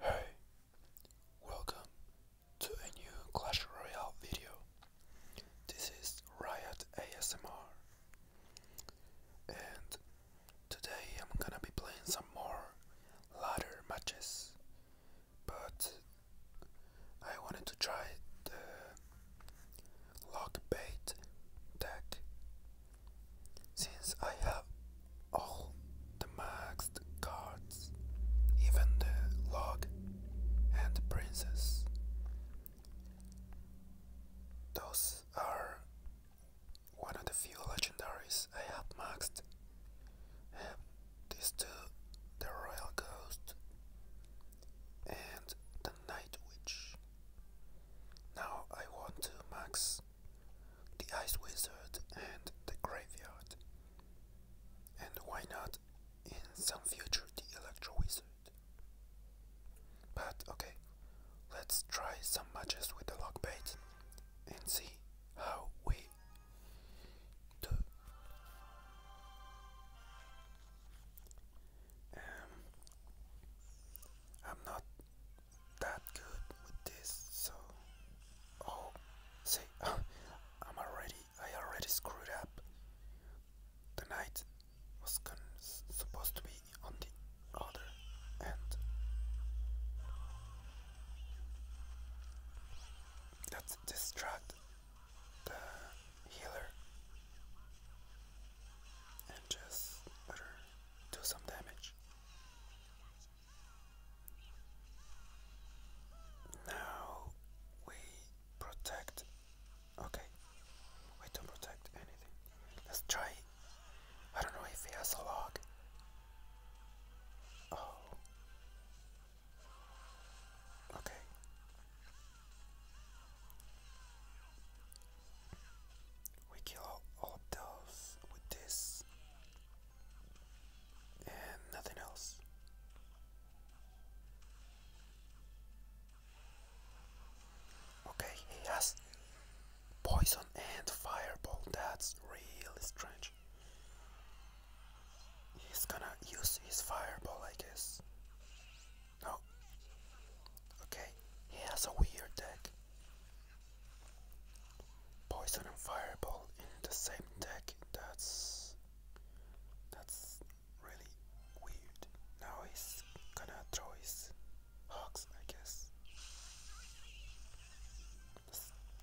Hey, welcome to a new Clash Royale video. This is Riot ASMR, and today I'm gonna be playing some more ladder matches. But I wanted to try the lock deck since I have all the maxed cards, even the log and princess, those are one of the few legendaries I have maxed. And these two the Royal Ghost and the Night Witch. Now I want to max the Ice Wizard and the Graveyard. And why not in some future the Electro Wizard? But okay, let's try some matches with the lock bait and see how we do. Um, I'm not that good with this, so oh, see, I'm already, I already screwed up. The knight was supposed to be on the other end. let distract the healer and just do some damage. Now we protect. Okay, we don't protect anything. Let's try. I don't know if he has a log. Oh. Okay we kill all of with this and nothing else. Okay, he has poison and fireball, that's really strange. He's gonna use his fireball, I guess. No. Okay, he has a weird deck. Poison and Fireball in the same deck, that's that's really weird. Now he's gonna throw his hawks, I guess.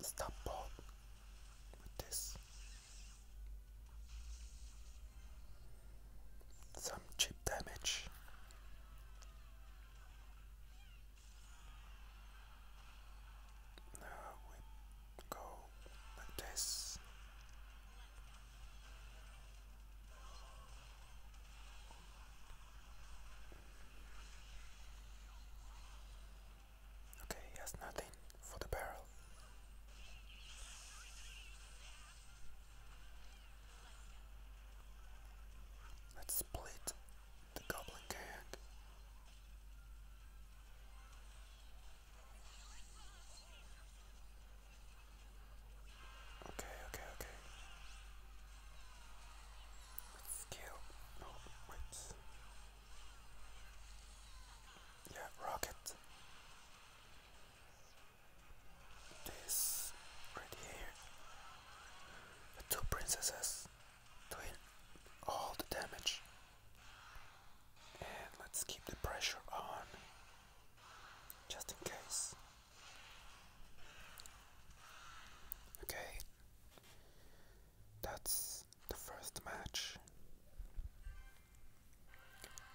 stop ball with this. Some cheap damage. Now we go like this. Okay, he has nothing for the barrel. Let's split the goblin gang. Okay, okay, okay. Let's wait. Yeah, rocket this right here. The two princesses doing all the damage. And let's keep the pressure on just in case. Okay, that's the first match.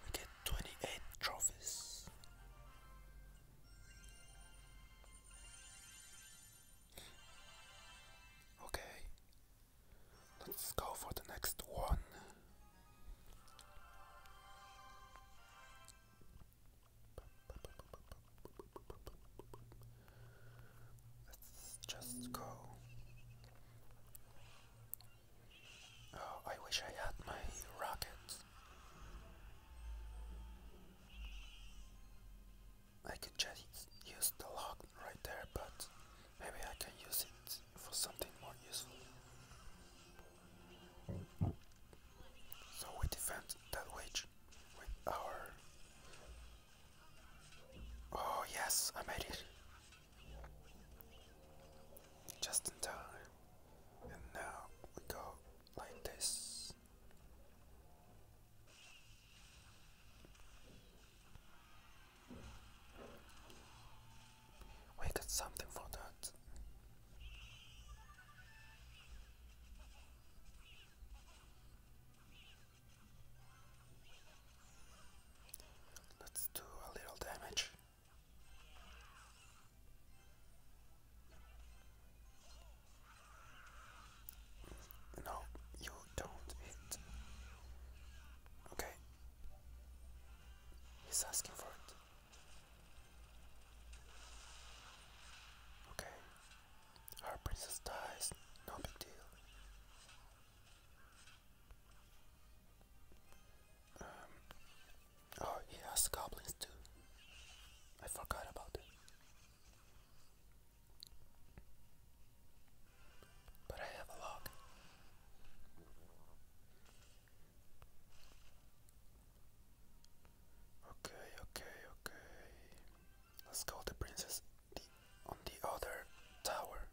We get 28 trophies. Okay, let's go for the next one. Let's just go. Oh, I wish I had my rocket. I can just use the lock right there, but maybe I can use it for something more useful. So we defend that witch with our. Oh, yes, I made it! Just in time. And now we go like this. We got something for that. Let's do a little damage. No, you don't Okay. He's asking for it. Okay. Our princess dies. No big deal. Um, Oh, he has goblins too. I forgot about it. But I have a log. Okay, okay, okay. Let's go the princess on the other tower.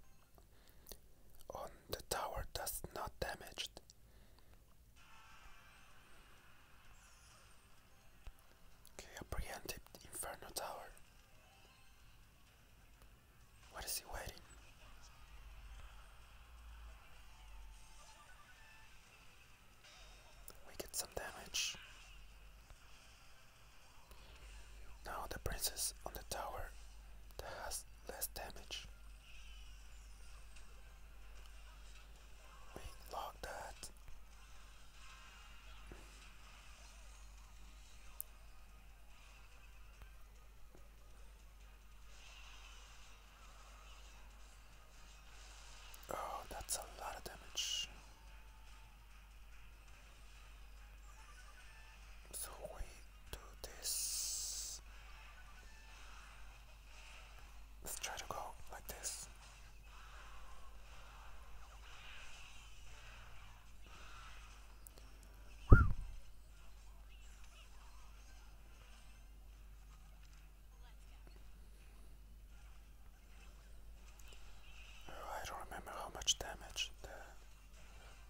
On the tower that's not damaged. Okay, a preemptive Inferno Tower. What is he waiting? We get some damage. Now the princess on the tower that has less damage. Wait, lock that. Oh, that's a lot of damage. So we do this. Let's try to go like this. I don't remember how much damage the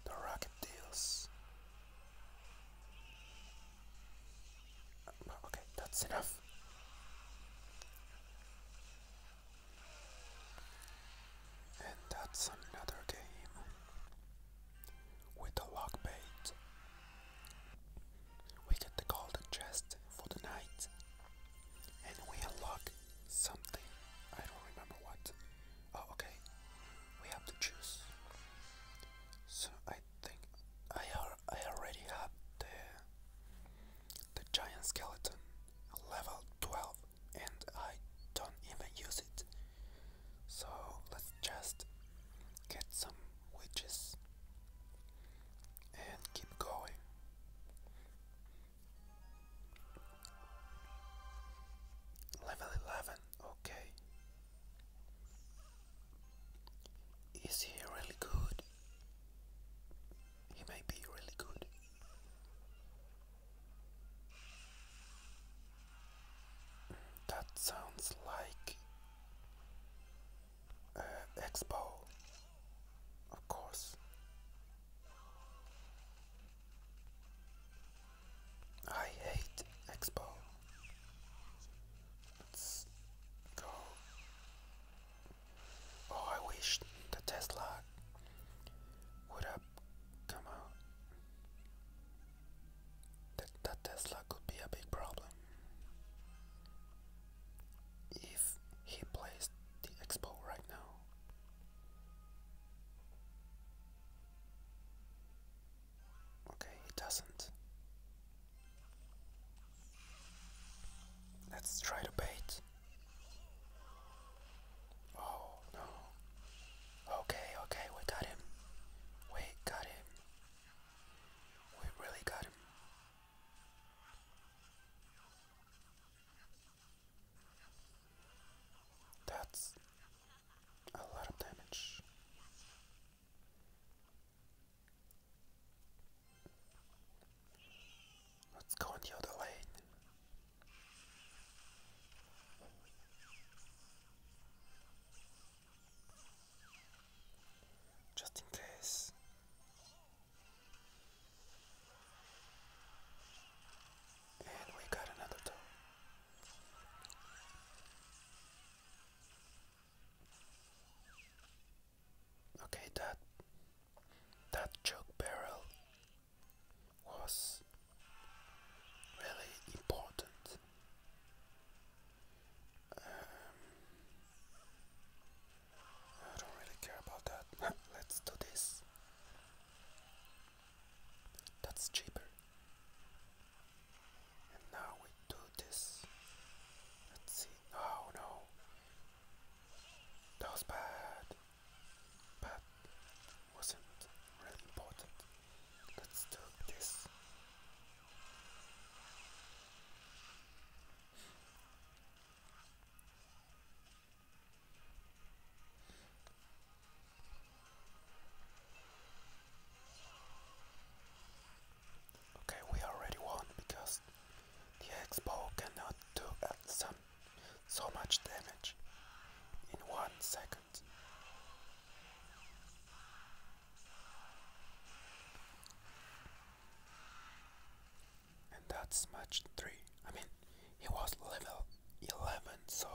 the rocket deals. Okay, that's enough. And that's another game with a lock bait. We get the chest for the night, and we unlock something. I don't remember what. Oh, okay. We have to choose. So I I I already have the the giant skeleton level 12 and I don't even use it. So let's just get some witches and keep going. Level 11, okay. Is he really good? He may be really good. That sounds like uh, Expo, of course. I hate Expo. Oh, I wish the Tesla would have come out. That, Tesla could be a big problem if he plays the expo right now. Okay, it doesn't. Let's try to bait. Oh no. Okay, okay, we got him. We got him. We really got him. That's a lot of damage. Let's go on the other lane. Just in case. And we got another toe. Okay, that that choke barrel was really important. Um, I don't really care about that. Let's do this. That's cheaper. And now we do this. Let's see. No, oh, no. That bad. But wasn't really important. Let's do this. Okay, we already won because the Expo cannot do uh, some, so much damage in one second. And that's match 3. I mean, he was level 11, so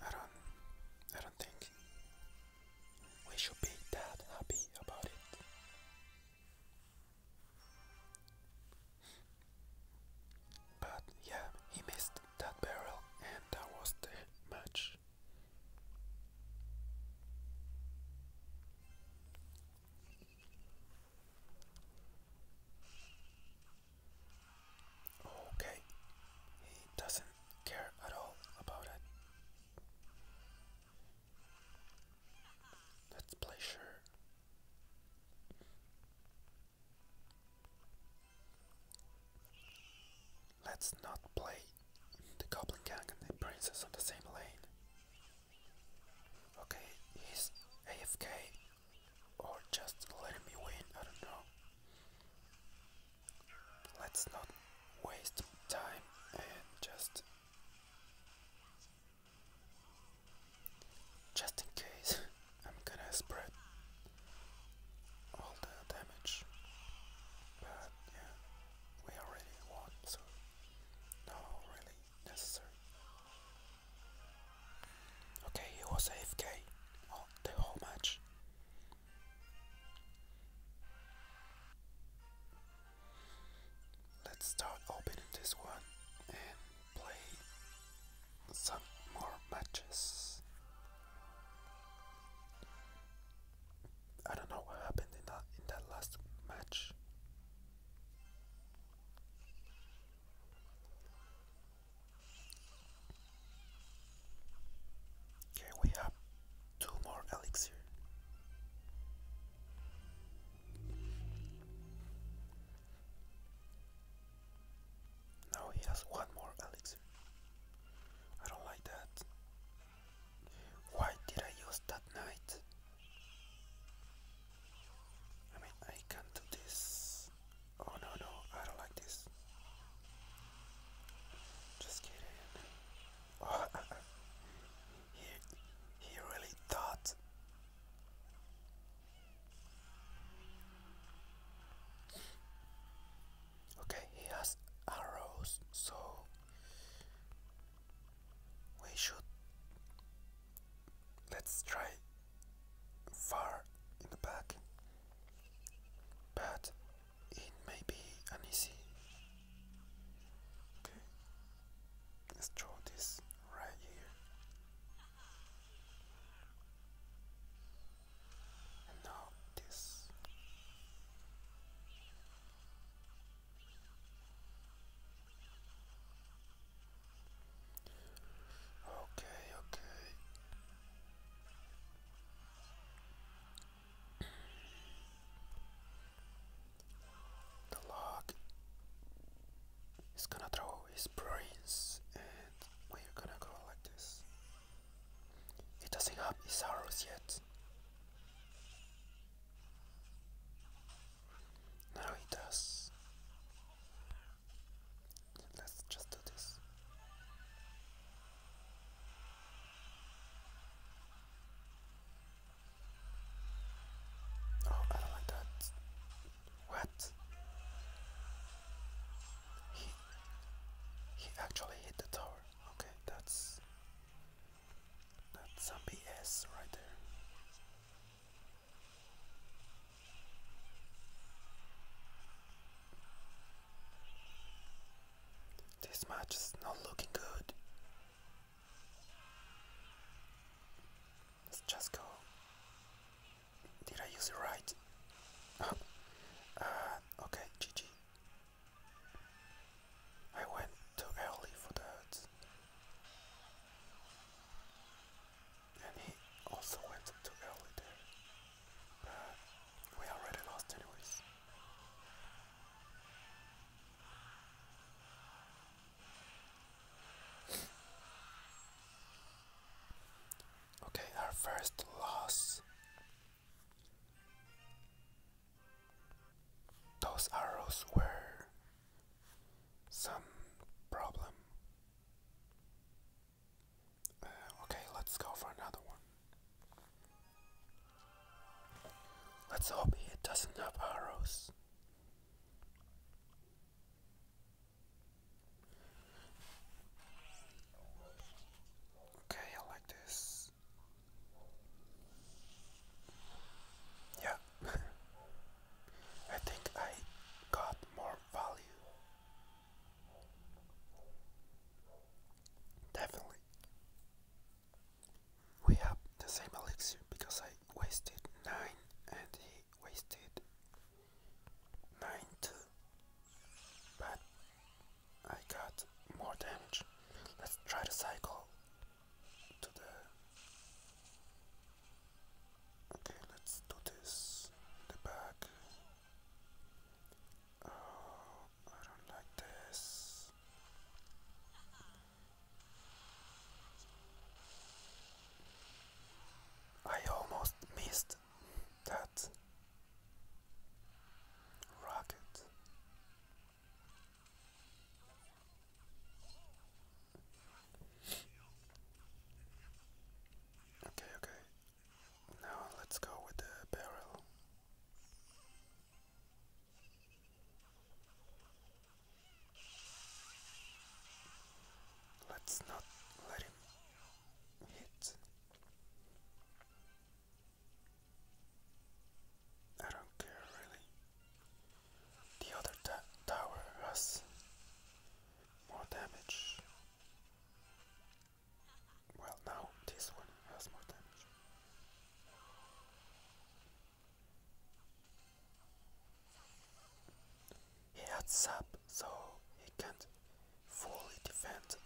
I don't I don't think we should be that happy about it. But yeah, he missed that barrel and that was the match. Okay, he doesn't care at all about it. Let's play sure. Let's not play the Goblin Gang and the Princess on the same lane. Okay, he's AFK or just let me win, I don't know. Let's not waste time and just just in case I'm gonna spread all the damage. But yeah, we already won, so no really necessary. Okay, he was AFK all, oh, the whole match. Let's start opening this one and play some more matches. I don't know what happened in that in that last match. Okay, we have two more elixir. Now he has one more elixir. I don't like that. Why did I use that night? I mean, I can do this. Oh no, no, I don't like this. Just kidding. Oh, he, he really thought. Okay, he has arrows, so we should. Let's try far in the back, but it may be uneasy. Okay, let's draw this right here. And now this. Okay, okay. The log is gonna throw his brains and we're gonna go like this. He doesn't have his arrows yet. Now he does. Let's just do this. Oh, I don't like that. What? He he actually hit the tower. Okay, that's that's some BS right there. This match is not looking good. Let's just go. Did I use right? Oh. okay, GG. I went too early for that and he also went too early there. But we already lost anyways. okay, our first loss. Those arrows were some problem. Uh, okay, let's go for another one. Let's hope it doesn't have arrows. Okay, I like this. Yeah, I think I got more value. Definitely. We have the same elixir because I wasted 9 and he wasted 9 too. But I got more damage. Let's try to cycle to the Okay, let's do this. The back. Oh, I don't like this. I almost missed that rocket. Okay, okay. Now let's go with the barrel. Let's not let him hit. I don't care really. The other tower has more damage. Well, now this one has more damage. He had sap, so he can't fully defend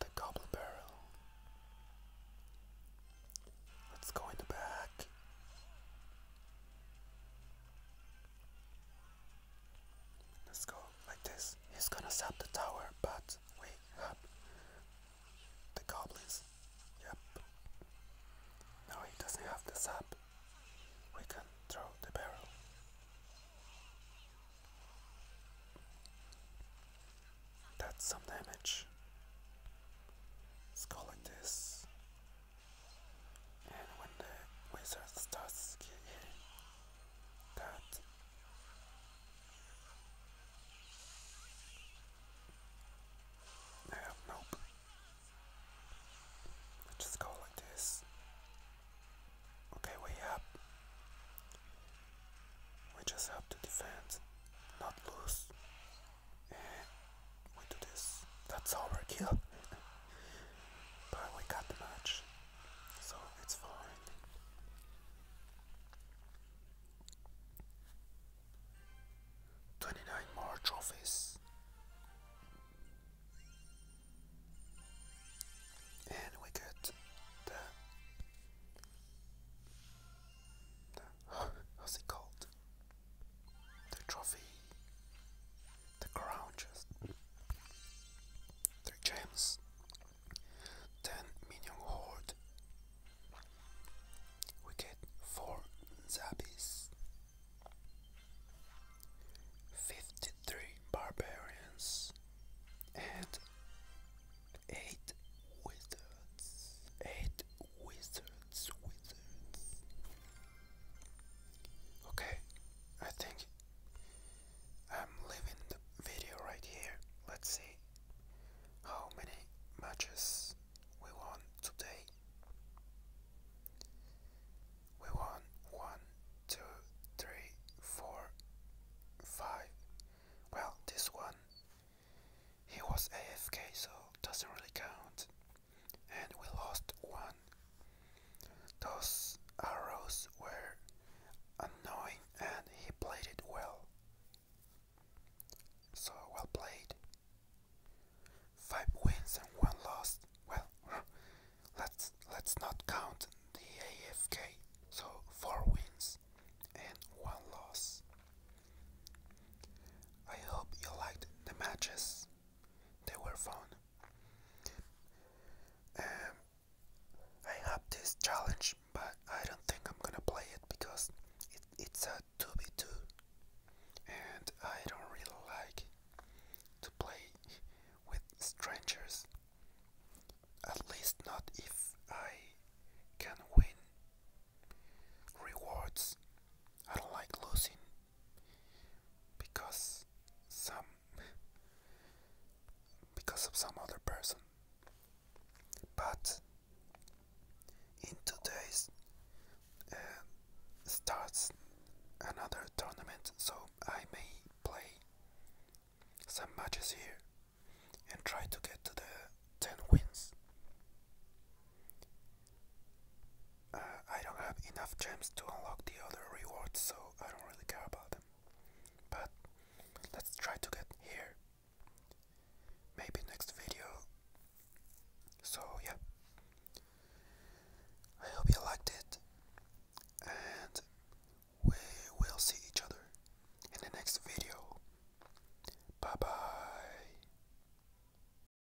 the goblin barrel. Let's go in the back. Let's go like this. He's gonna zap the tower, but we have the goblins. Yep. No, he doesn't have the zap. We can throw the barrel. That's some damage. Let's go like this. And when the wizard starts killing that nope. just go like this. Okay, we have we just have to defend, not lose we do this. That's overkill. but we got the match, so it's fine. Twenty-nine more trophies. And we get the, the how's it called? the trophy, the crown just three gems, ten minion horde. We get four zabis, fifty-three barbarians, and eight wizards. Eight wizards, wizards. Okay, I think I'm leaving the video right here. Let's see how many matches we won today. We won one, two, three, four, five. Well, this one, he was AFK, so doesn't really count and we lost one. Those arrows were annoying and he played it well. So well played. Five wins and one loss. Well, let's let's not count the AFK. So four wins and one loss. I hope you liked the matches they were found. Um, I have this challenge, but I don't think I'm gonna play it because it's a 2v2 and I don't really like to play with strangers. At least not if I can win rewards. I don't like losing because some because of some other person but in two days uh, starts another tournament so I may play some matches here and try to get to the 10 wins I don't have enough gems to unlock the other rewards, so I don't really care about them. But let's try to get here. Maybe next video. So, yeah. I hope you liked it. And we will see each other in the next video. Bye bye.